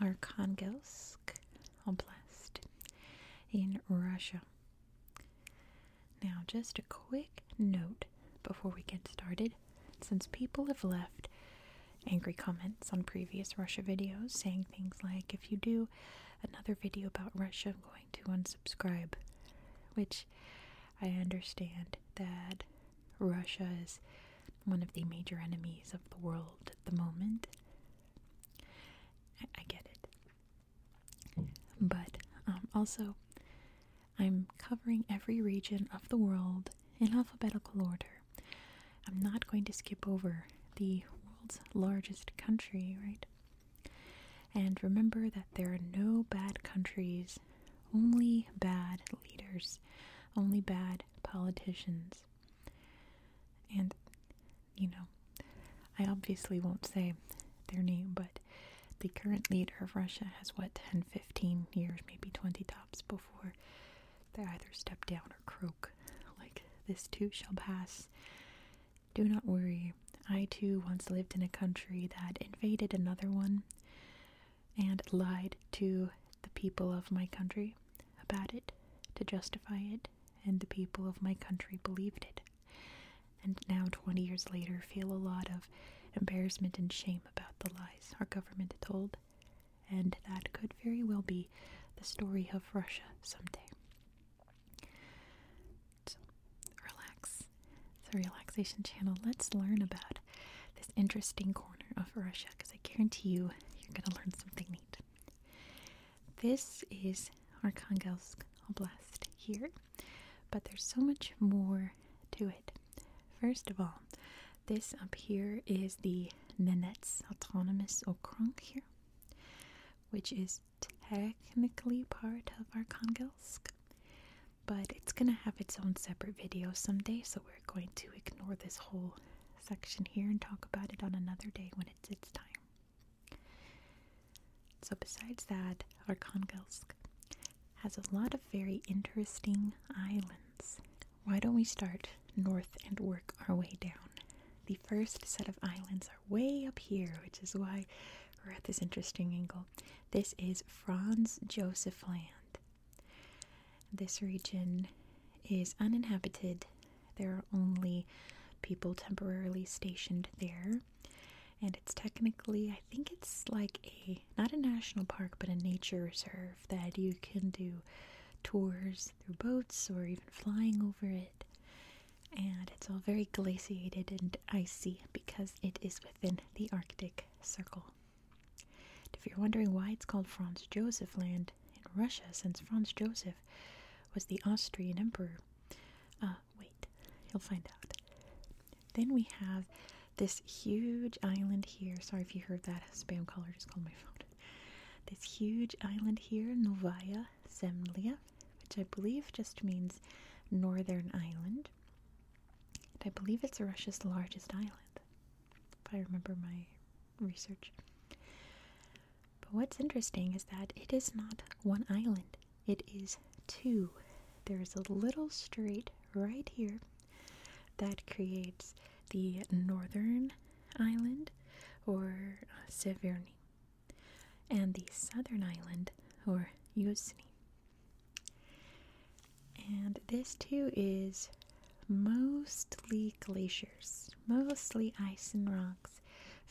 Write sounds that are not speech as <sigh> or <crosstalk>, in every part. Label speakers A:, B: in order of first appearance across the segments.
A: Arkhangelsk Oblast in Russia. Now, just a quick note before we get started. Since people have left angry comments on previous Russia videos saying things like, if you do another video about Russia, I'm going to unsubscribe, which I understand that Russia is one of the major enemies of the world at the moment. I, get it. But um, also, I'm covering every region of the world in alphabetical order. I'm not going to skip over the world's largest country, right? And remember that there are no bad countries, only bad leaders, only bad politicians. And, you know, I obviously won't say their name, but the current leader of Russia has, what, 10, 15 years, maybe 20 tops before they either step down or croak. Like, this too shall pass. Do not worry. I too once lived in a country that invaded another one and lied to the people of my country about it to justify it, and the people of my country believed it. And now, 20 years later, feel a lot of embarrassment and shame about the lies our government told, and that could very well be the story of Russia someday. relax. It's a relaxation channel. Let's learn about this interesting corner of Russia because I guarantee you you're going to learn something neat. This is Arkhangelsk Oblast here, but there's so much more to it. First of all, this up here is the Nanets Autonomous Okrug here, which is technically part of Arkhangelsk, but it's going to have its own separate video someday, so we're going to ignore this whole section here and talk about it on another day when it's its time. So, besides that, Arkhangelsk has a lot of very interesting islands. Why don't we start north and work our way down? The first set of islands are way up here, which is why we're at this interesting angle. This is Franz Josef Land. This region is uninhabited. There are only people temporarily stationed there. And it's technically, I think it's like a, not a national park, but a nature reserve that you can do tours through boats or even flying over it. And it's all very glaciated and icy because it is within the Arctic Circle if you're wondering why it's called Franz Josef Land in Russia, since Franz Josef was the Austrian emperor, uh, wait, you'll find out. Then we have this huge island here. Sorry if you heard that spam caller just called my phone. This huge island here, Novaya Zemlya, which I believe just means northern island. And I believe it's Russia's largest island if I remember my research. But what's interesting is that it is not one island, it is two. There is a little strait right here that creates the northern island or uh, Severny and the southern island or Yuzny. And this too is mostly glaciers, mostly ice and rocks.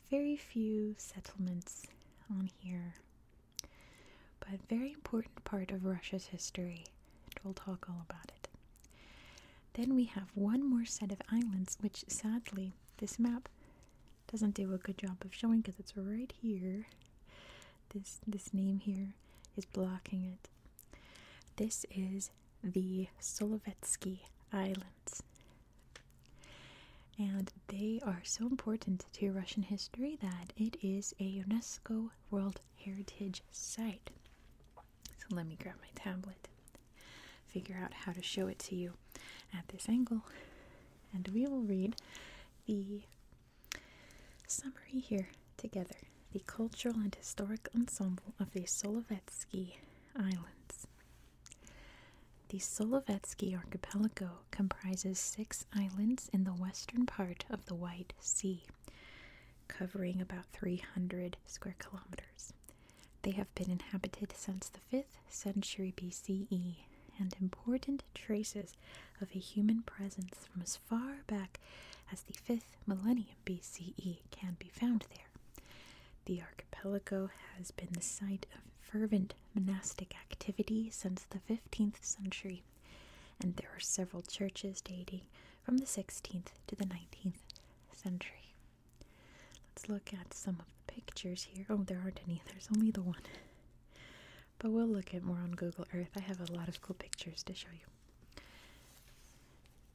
A: Very few settlements on here. But very important part of Russia's history, we'll talk all about it. Then we have one more set of islands, which sadly this map doesn't do a good job of showing because it's right here. This this name here is blocking it. This is the Solovetsky Islands. And they are so important to Russian history that it is a UNESCO World Heritage Site. So let me grab my tablet, figure out how to show it to you at this angle, and we will read the summary here together the cultural and historic ensemble of the Solovetsky Islands. The Solovetsky archipelago comprises six islands in the western part of the White Sea, covering about 300 square kilometers. They have been inhabited since the 5th century BCE, and important traces of a human presence from as far back as the 5th millennium BCE can be found there. The archipelago has been the site of fervent monastic activity since the 15th century, and there are several churches dating from the 16th to the 19th century. Let's look at some of the pictures here. Oh, there aren't any, there's only the one. But we'll look at more on Google Earth. I have a lot of cool pictures to show you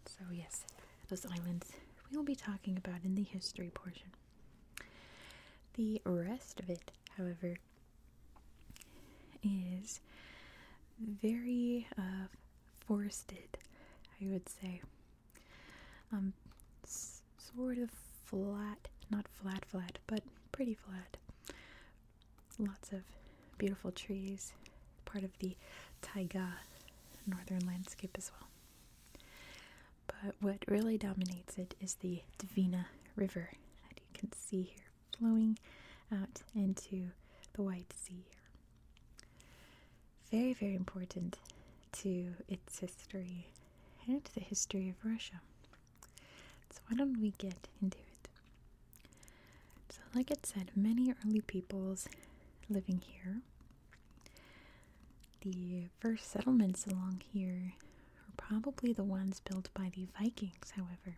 A: so, yes, those islands we will be talking about in the history portion. The rest of it, however, is very uh, forested, I would say. Um, sort of flat, not flat, flat, but pretty flat. Lots of beautiful trees, part of the taiga northern landscape as well. But what really dominates it is the Dvina River that you can see here flowing out into the White Sea. Very, very important to its history and the history of Russia. So, why don't we get into it? So, like I said, many early peoples living here. The first settlements along here were probably the ones built by the Vikings, however.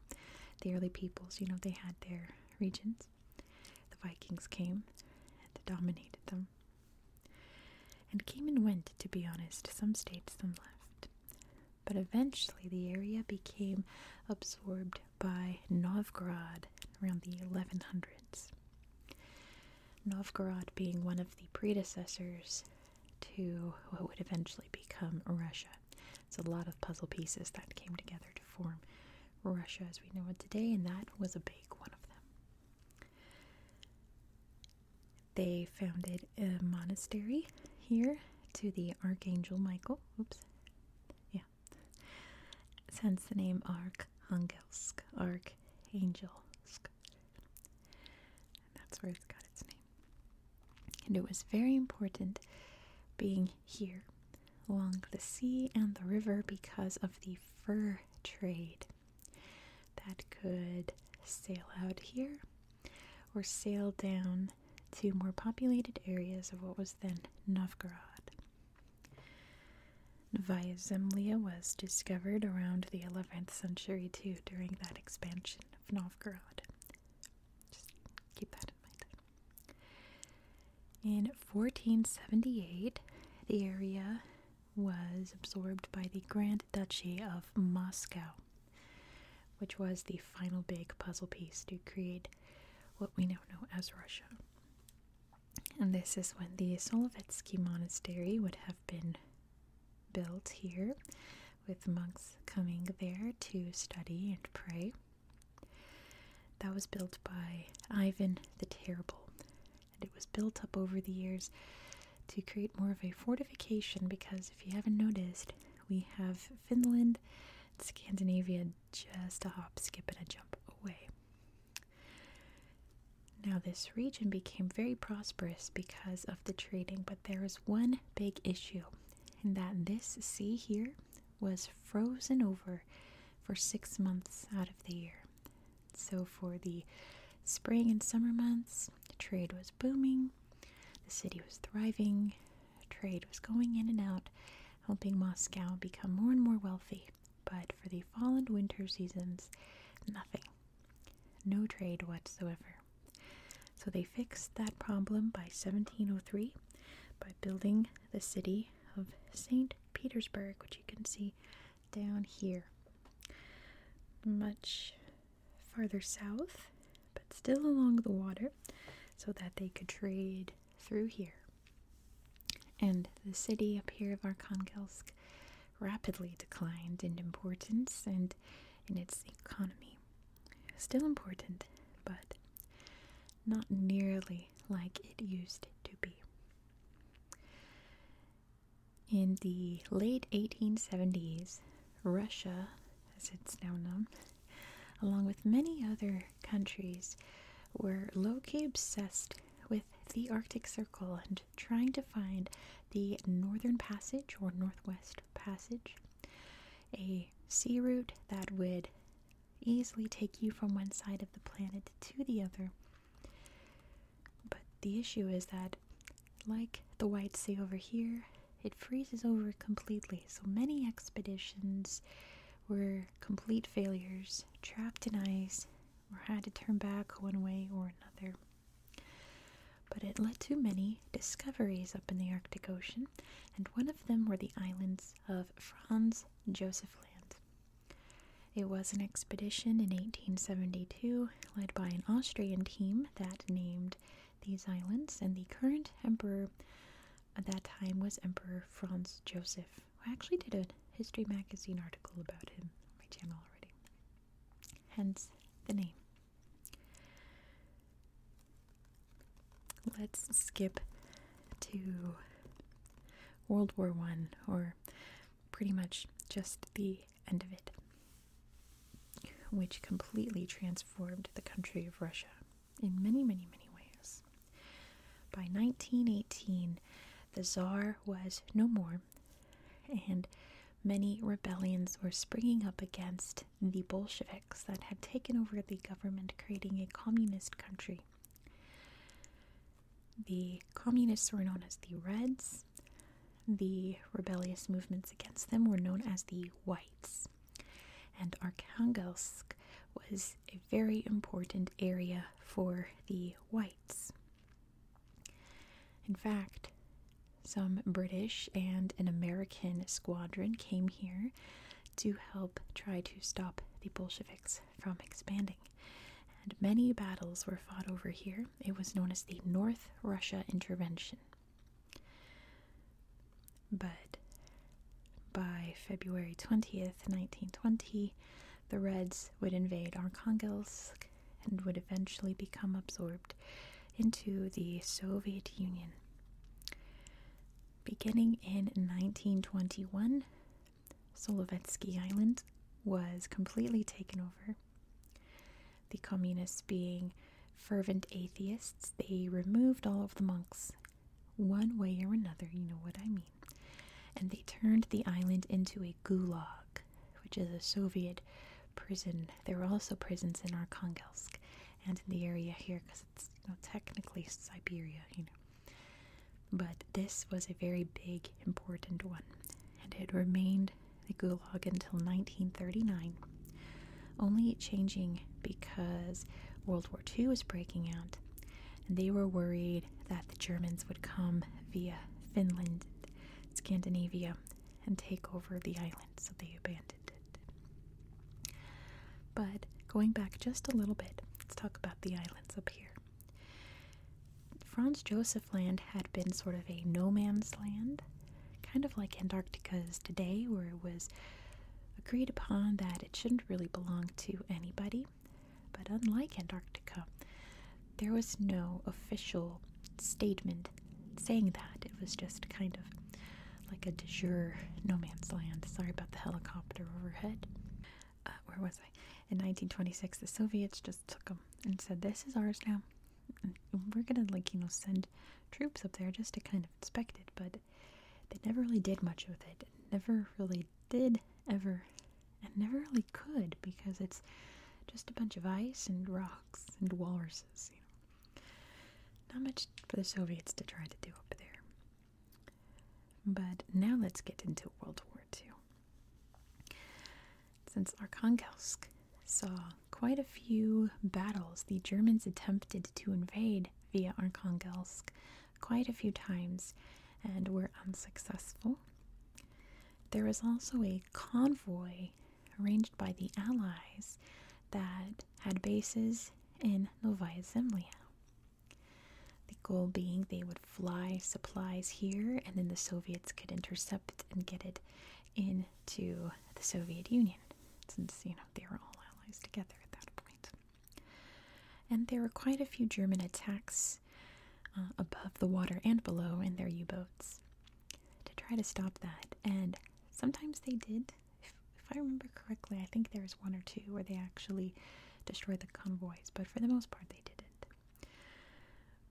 A: The early peoples, you know, they had their regions. The Vikings came and dominated them. And came and went, to be honest. Some stayed, some left. But eventually the area became absorbed by Novgorod around the 1100s. Novgorod being one of the predecessors to what would eventually become Russia. It's a lot of puzzle pieces that came together to form Russia as we know it today, and that was a big one of them. They founded a monastery here to the Archangel Michael. Oops. Yeah, Hence the name Arkhangelsk, Arkhangelsk. And that's where it's got its name. And it was very important being here along the sea and the river because of the fur trade that could sail out here or sail down to more populated areas of what was then Novgorod. Novaya Zemlya was discovered around the 11th century too during that expansion of Novgorod. Just keep that in mind. In 1478, the area was absorbed by the Grand Duchy of Moscow, which was the final big puzzle piece to create what we now know as Russia. And this is when the Solovetsky Monastery would have been built here, with monks coming there to study and pray. That was built by Ivan the Terrible, and it was built up over the years to create more of a fortification because if you haven't noticed, we have Finland Scandinavia just a hop, skip, and a jump away. Now, this region became very prosperous because of the trading, but there was one big issue, and that this sea here was frozen over for six months out of the year. So, for the spring and summer months, trade was booming, the city was thriving, trade was going in and out, helping Moscow become more and more wealthy. But for the fall and winter seasons, nothing. No trade whatsoever. So they fixed that problem by 1703 by building the city of St. Petersburg, which you can see down here. Much farther south, but still along the water, so that they could trade through here. And the city up here of Arkhangelsk rapidly declined in importance and in its economy. Still important, but not nearly like it used to be. In the late 1870s, Russia as it's now known, along with many other countries, were loci obsessed with the Arctic Circle and trying to find the Northern Passage or Northwest Passage, a sea route that would easily take you from one side of the planet to the other. But the issue is that, like the White Sea over here, it freezes over completely, so many expeditions were complete failures, trapped in ice, or had to turn back one way or another. But it led to many discoveries up in the Arctic Ocean, and one of them were the islands of Franz Josef Land. It was an expedition in 1872 led by an Austrian team that named these islands, and the current emperor at that time was Emperor Franz Joseph. I actually did a History Magazine article about him on my channel already, hence the name. Let's skip to World War One, or pretty much just the end of it, which completely transformed the country of Russia in many, many, many ways. By 1918, the czar was no more, and many rebellions were springing up against the Bolsheviks that had taken over the government, creating a communist country. The communists were known as the Reds. The rebellious movements against them were known as the Whites. And Arkhangelsk was a very important area for the whites. In fact, some British and an American squadron came here to help try to stop the Bolsheviks from expanding. And many battles were fought over here. It was known as the North Russia Intervention. But by February 20th, 1920, the Reds would invade Arkhangelsk and would eventually become absorbed into the Soviet Union. Beginning in 1921, Solovetsky Island was completely taken over. The communists, being fervent atheists, they removed all of the monks one way or another, you know what I mean. And they turned the island into a gulag, which is a Soviet prison. There were also prisons in Arkhangelsk and in the area here because it's technically Siberia, you know. But this was a very big, important one, and it remained a gulag until 1939 only changing because World War II was breaking out. And they were worried that the Germans would come via Finland, Scandinavia, and take over the island, so they abandoned it. But going back just a little bit, let's talk about the islands up here. Franz Josef Land had been sort of a no man's land, kind of like Antarctica is today, where it was agreed upon that it shouldn't really belong to anybody. But unlike Antarctica, there was no official statement saying that. It was just kind of like a de jure no man's land. Sorry about the helicopter overhead. Uh, where was I? In 1926, the Soviets just took them and said, This is ours now. we're gonna, like, you know, send troops up there just to kind of inspect it, but they never really did much with it. never really did ever and never really could because it's just a bunch of ice and rocks and walruses, you know. Not much for the Soviets to try to do up there. But now let's get into World War II. Since Arkhangelsk saw quite a few battles the Germans attempted to invade via Arkhangelsk quite a few times and were unsuccessful. There was also a convoy arranged by the Allies that had bases in Novaya Zemlya. The goal being they would fly supplies here and then the Soviets could intercept and get it into the Soviet Union since, you know, they were all allies together at that point. And there were quite a few German attacks uh, above the water and below in their U boats to try to stop that. And sometimes they did. If, if I remember correctly, I think there was one or two where they actually destroyed the convoys, but for the most part, they didn't.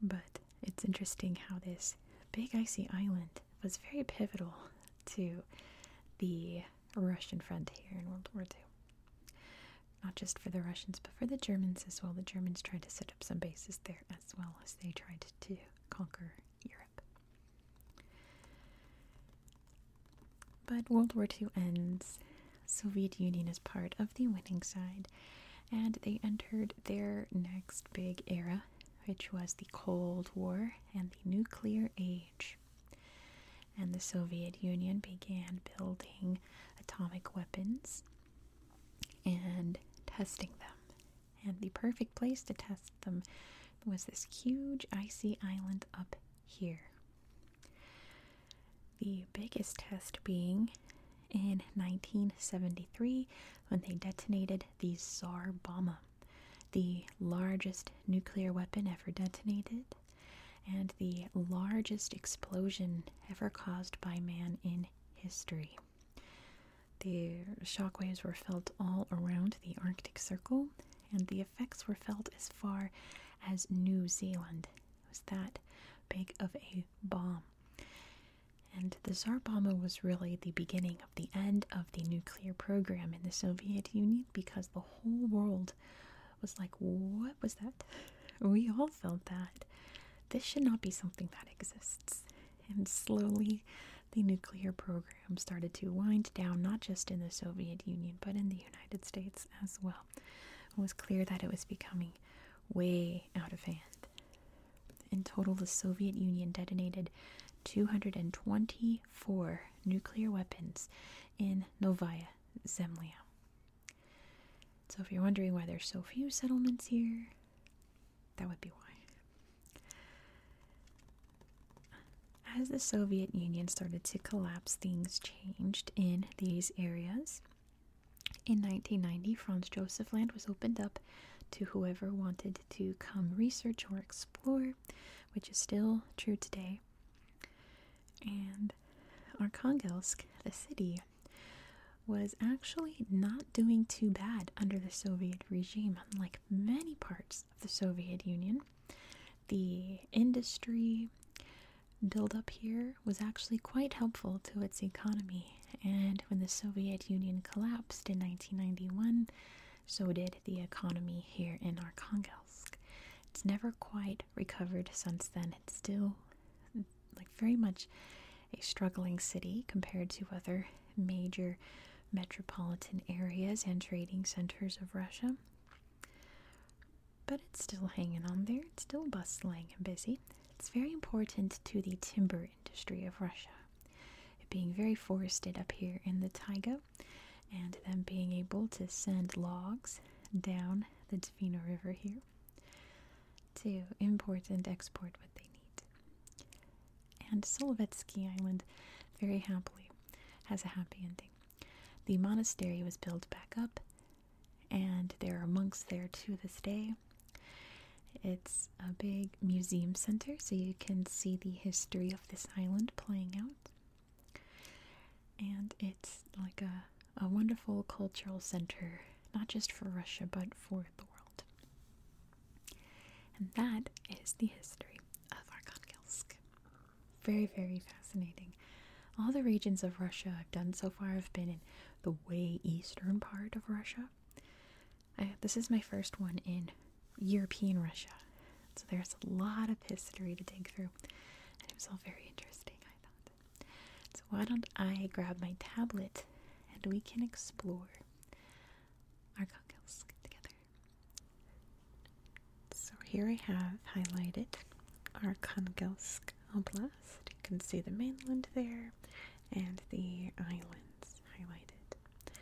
A: But it's interesting how this big icy island was very pivotal to the Russian front here in World War II. Not just for the Russians, but for the Germans as well. The Germans tried to set up some bases there as well as they tried to conquer Europe. But World War II ends. Soviet Union is part of the winning side, and they entered their next big era, which was the Cold War and the nuclear age. And the Soviet Union began building atomic weapons and testing them. And the perfect place to test them was this huge icy island up here. The biggest test being in 1973 when they detonated the Tsar Bomba the largest nuclear weapon ever detonated, and the largest explosion ever caused by man in history. The shockwaves were felt all around the Arctic Circle, and the effects were felt as far as New Zealand. It was that big of a bomb. And the Tsar bomber was really the beginning of the end of the nuclear program in the Soviet Union because the whole world was like, What was that? <laughs> We all felt that. This should not be something that exists. And slowly, the nuclear program started to wind down, not just in the Soviet Union, but in the United States as well. It was clear that it was becoming way out of hand. In total, the Soviet Union detonated 224 nuclear weapons in Novaya Zemlya. So, if you're wondering why there's so few settlements here, that would be why. As the Soviet Union started to collapse, things changed in these areas. In 1990, Franz Josef Land was opened up to whoever wanted to come research or explore, which is still true today. And Arkhangelsk, the city, was actually not doing too bad under the Soviet regime, unlike many parts of the Soviet Union. The industry buildup here was actually quite helpful to its economy, and when the Soviet Union collapsed in 1991, so did the economy here in Arkhangelsk. It's never quite recovered since then. It's still like very much a struggling city compared to other major metropolitan areas and trading centers of Russia. But it's still hanging on there. It's still bustling and busy. It's very important to the timber industry of Russia. being very forested up here in the taiga, and them being able to send logs down the Tofino River here to import and export what they need. And Solovetsky Island very happily has a happy ending. The monastery was built back up, and there are monks there to this day. It's a big museum center, so you can see the history of this island playing out. And it's like a, a wonderful cultural center, not just for Russia, but for the world. And that is the history of Arkhangelsk. Very, very fascinating. All the regions of Russia I've done so far have been in the way eastern part of Russia. this is my first one in European Russia. So there's a lot of history to dig through, and it was all very interesting, I thought. So why don't I grab my tablet and we can explore our together? So here I have highlighted our Arkhangelsk Oblast. You can see the mainland there and the islands highlighted.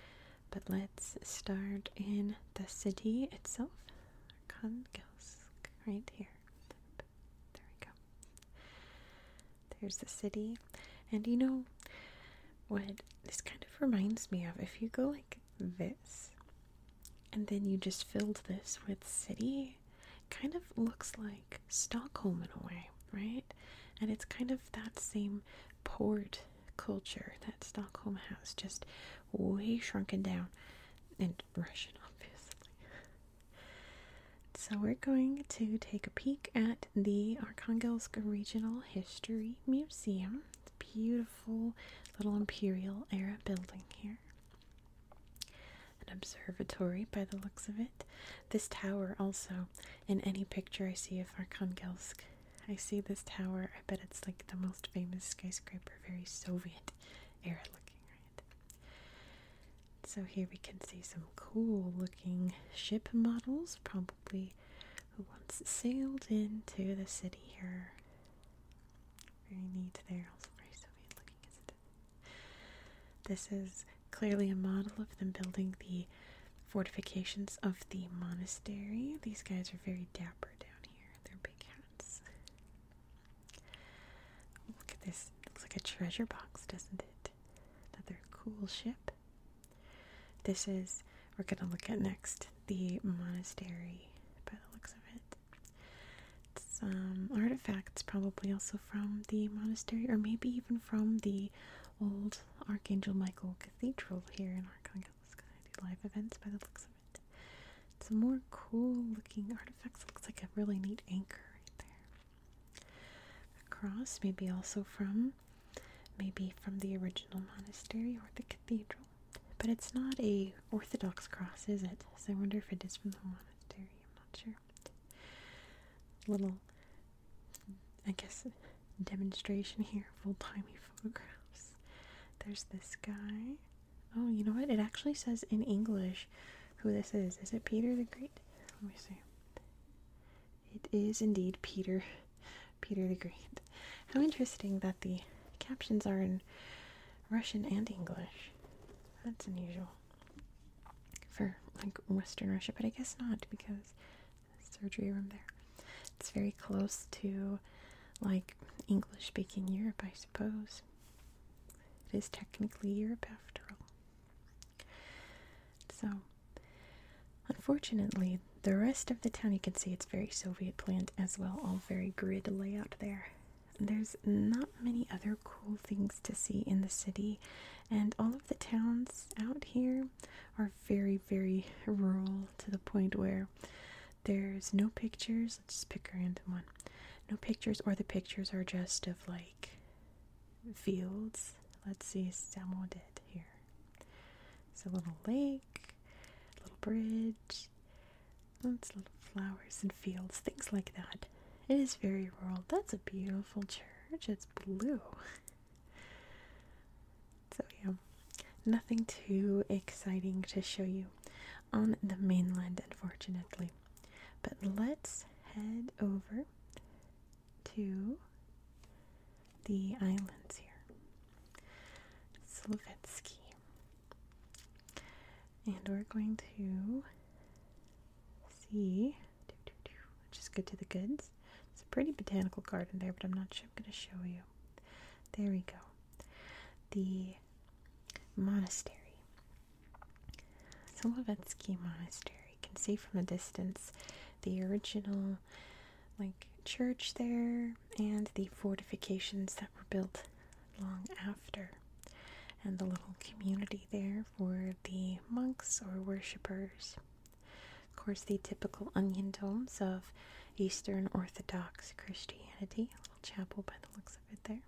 A: But let's start in the city itself. Arkhangelsk, right here. There we go. There's the city. And you know what this kind of reminds me of? If you go like this, and then you just filled this with city, kind of looks like Stockholm in a way, right? And it's kind of that same port culture that Stockholm has, just way shrunken down and Russian, <laughs> obviously. so, we're going to take a peek at the Arkhangelsk Regional History Museum. It's beautiful little imperial era building here. An observatory by the looks of it. This tower, also, in any picture I see of Arkhangelsk, I see this tower. I bet it's like the most famous skyscraper, very Soviet era looking, right? So here we can see some cool looking ship models, probably who once sailed into the city here. Very neat there, also very Soviet looking, This is clearly a model of them building the fortifications of the monastery. These guys are very dapper down here. They're cats. Look at this. looks like a treasure box, doesn't it? Another cool ship. This is, we're going to look at next, the monastery by the looks of it. Some artifacts, probably also from the monastery, or maybe even from the old Archangel Michael Cathedral here in Arkansas. I do live events by the looks of some more cool looking artifacts. Looks like a really neat anchor right there. A cross, maybe also from maybe from the original monastery or the cathedral. But it's not a Orthodox cross, is it? So I wonder if it is from the monastery. I'm not sure. Little, I guess, demonstration here full timey photographs. There's this guy. Oh, you know what? It actually says in English who this is. Is it Peter the Great? Let me see. It is indeed Peter. <laughs> Peter the Great. How interesting that the captions are in Russian and English. That's unusual for like Western Russia, but I guess not because surgery room there. It's very close to like English speaking Europe, I suppose. It is technically Europe after all. So, unfortunately, the rest of the town you can see it's very Soviet planned as well, all very grid layout there. There's not many other cool things to see in the city, and all of the towns out here are very, very rural to the point where there's no pictures. Let's just pick a random one. No pictures, or the pictures are just of like fields. Let's see, Samo did here. It's a little lake, little bridge, lots of little flowers and fields, things like that. It is very rural. That's a beautiful church. It's blue. So, yeah, nothing too exciting to show you on the mainland, unfortunately. But let's head over to the islands here. Slovetsky. And we're going to see, just go to the goods. It's a pretty botanical garden there, but I'm not sure I'm going to show you. There we go. The monastery. Solovetsky Monastery. You can see from a distance the original like church there and the fortifications that were built long after and the little community there for the monks or worshippers. Of course, the typical onion domes of Eastern Orthodox Christianity, a little chapel by the looks of it there.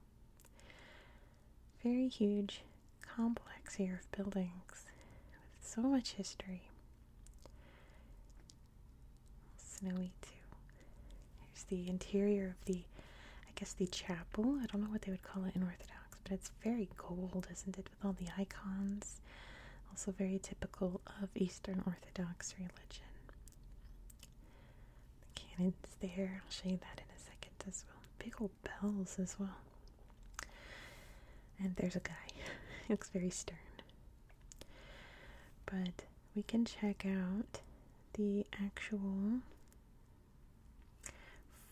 A: Very huge complex here of buildings with so much history. Snowy too. Here's the interior of the, I guess the chapel. I don't know what they would call it in Orthodox, but it's very gold, isn't it, with all the icons. Also very typical of Eastern Orthodox religion. The cannons there. I'll show you that in a second as well. Big old bells as well. And there's a guy. <laughs> looks very stern. But we can check out the actual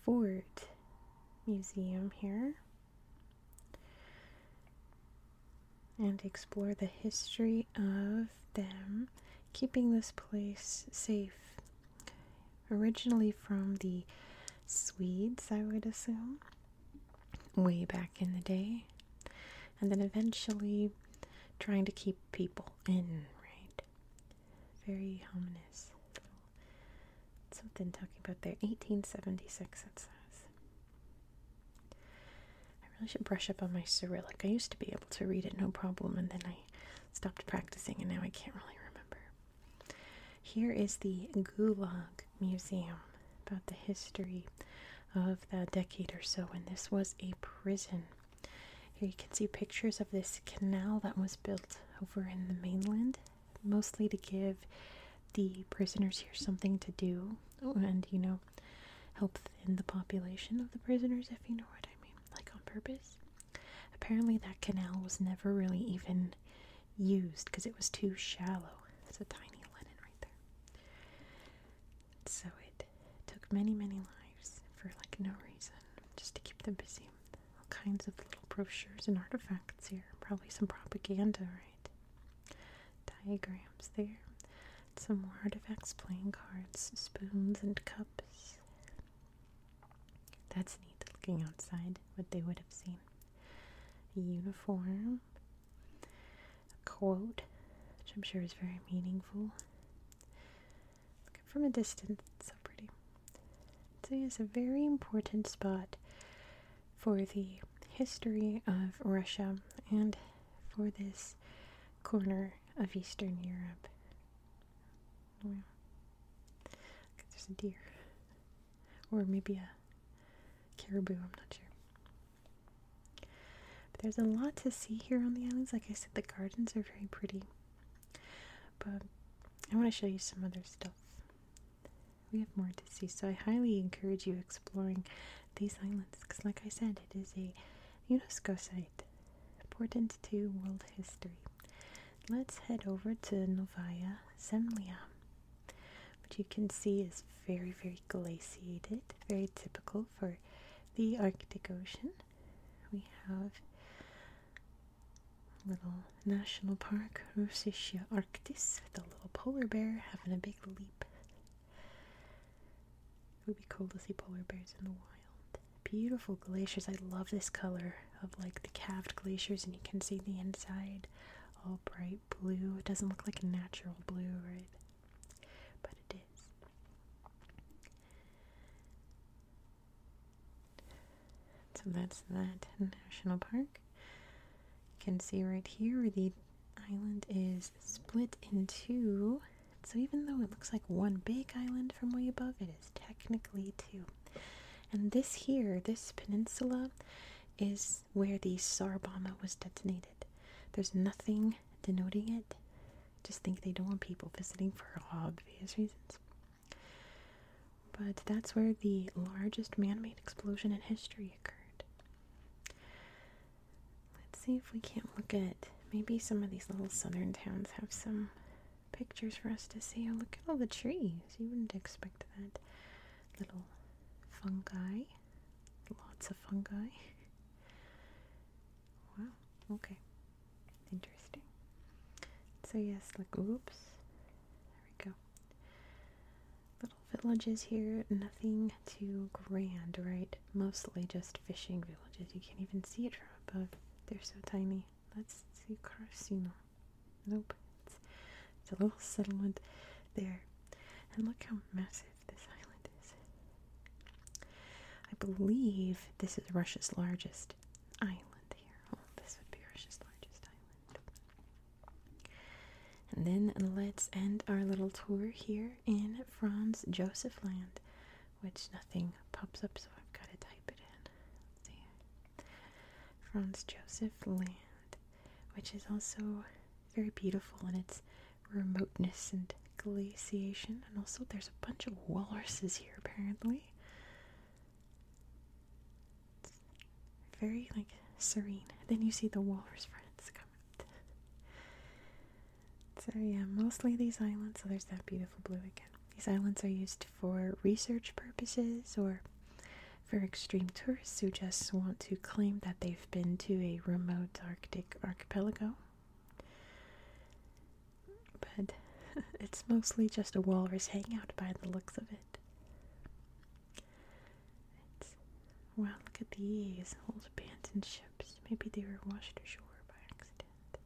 A: fort museum here and explore the history of them, keeping this place safe. Originally from the Swedes, I would assume, way back in the day, and then eventually trying to keep people in, right? Very ominous. Something talking about there. 1876, it says. I really should brush up on my Cyrillic. I used to be able to read it no problem, and then I stopped practicing, and now I can't really remember. Here is the Gulag Museum about the history of the decade or so, when this was a prison. Here you can see pictures of this canal that was built over in the mainland, mostly to give the prisoners here something to do and, you know, help thin the population of the prisoners, if you know what I mean, like on purpose. Apparently, that canal was never really even used because it was too shallow. It's a tiny Lenin right there. So it took many, many lives for like no reason, just to keep them busy. All kinds of little brochures and artifacts here, probably some propaganda, right? diagrams there. Some more artifacts, playing cards, spoons, and cups. That's neat looking outside, what they would have seen. uniform, a quote, which I'm sure is very meaningful. from a distance, so pretty. So, yes, a very important spot for the history of Russia and for this corner of Eastern Europe. Oh, there's a deer. Or maybe a caribou, I'm not sure. But there's a lot to see here on the islands. Like I said, the gardens are very pretty. But I want to show you some other stuff. We have more to see, so I highly encourage you exploring these islands because, like I said, it is a UNESCO site important to world history. Let's head over to Novaya Zemlya, which you can see is very, very glaciated, very typical for the Arctic Ocean. We have little national park, Russische Arktis, with a little polar bear having a big leap it would be cool to see polar bears in the wild. Beautiful glaciers. I love this color of like the calved glaciers, and you can see the inside all bright blue. It doesn't look like a natural blue, right? But it is. So that's that national park. You can see right here the island is split in two. So even though it looks like one big island from way above, it is technically two. And this here, this peninsula, is where the SAR was detonated. There's nothing denoting it. Just think they don't want people visiting for obvious reasons. But that's where the largest man made explosion in history occurred. Let's see if we can't look at maybe some of these little southern towns have some pictures for us to see. Oh, look at all the trees. You wouldn't expect that. Little fungi. Lots of fungi. <laughs> wow, okay. Interesting. So, yes, like, oops. There we go. Little villages here, nothing too grand, right? Mostly just fishing villages. You can't even see it from above. They're so tiny. Let's see Carcino. Nope. it's a little settlement there. And look how massive this island is. I believe this is Russia's largest island here. Oh, this would be Russia's largest island. And then let's end our little tour here in Franz Josef Land, which nothing pops up, so I've got to type it in. Franz Josef Land, which is also very beautiful in its remoteness and glaciation, and also there's a bunch of walruses here apparently. very like serene. Then you see the walrus friends come out. So, yeah, mostly these islands. So, there's that beautiful blue again. These islands are used for research purposes or for extreme tourists who just want to claim that they've been to a remote Arctic archipelago. But <laughs> it's mostly just a walrus hangout by the looks of it. wow, look at these old abandoned ships. Maybe they were washed ashore by accident.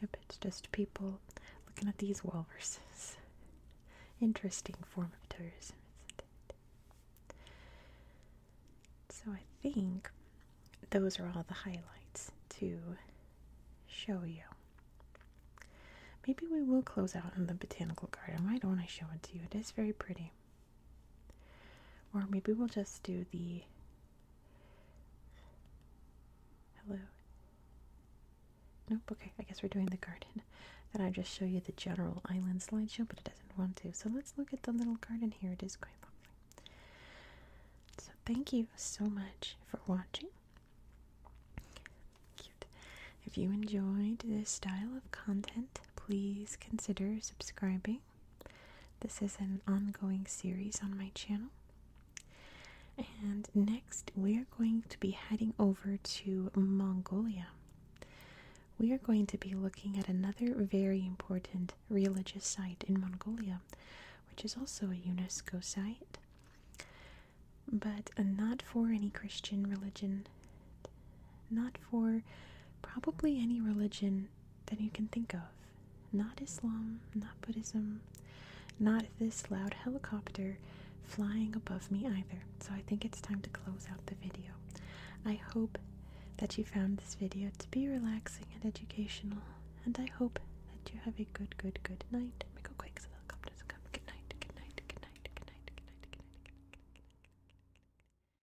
A: Yep, it's just people looking at these walruses. Interesting form of tourism, So I think those are all the highlights to show you. Maybe we will close out in the botanical garden. Why don't I show it to you? It is very pretty. Or maybe we'll just do the hello. Nope, okay, I guess we're doing the garden. Then I just show you the general island slideshow, but it doesn't want to. So let's look at the little garden here. It is quite lovely. So thank you so much for watching. Cute. If you enjoyed this style of content, please consider subscribing this is an ongoing series on my channel. And next, we are going to be heading over to Mongolia. We are going to be looking at another very important religious site in Mongolia, which is also a UNESCO site, but not for any Christian religion, not for probably any religion than you can think of. Not Islam, not Buddhism, not this loud helicopter flying above me either. So I think it's time to close out the video. I hope that you found this video to be relaxing and educational, and I hope that you have a good, good, good night. Make a quick so the helicopters come. Good night, good night, good night, good night, good night, good night, good night. Good night, good night, good night.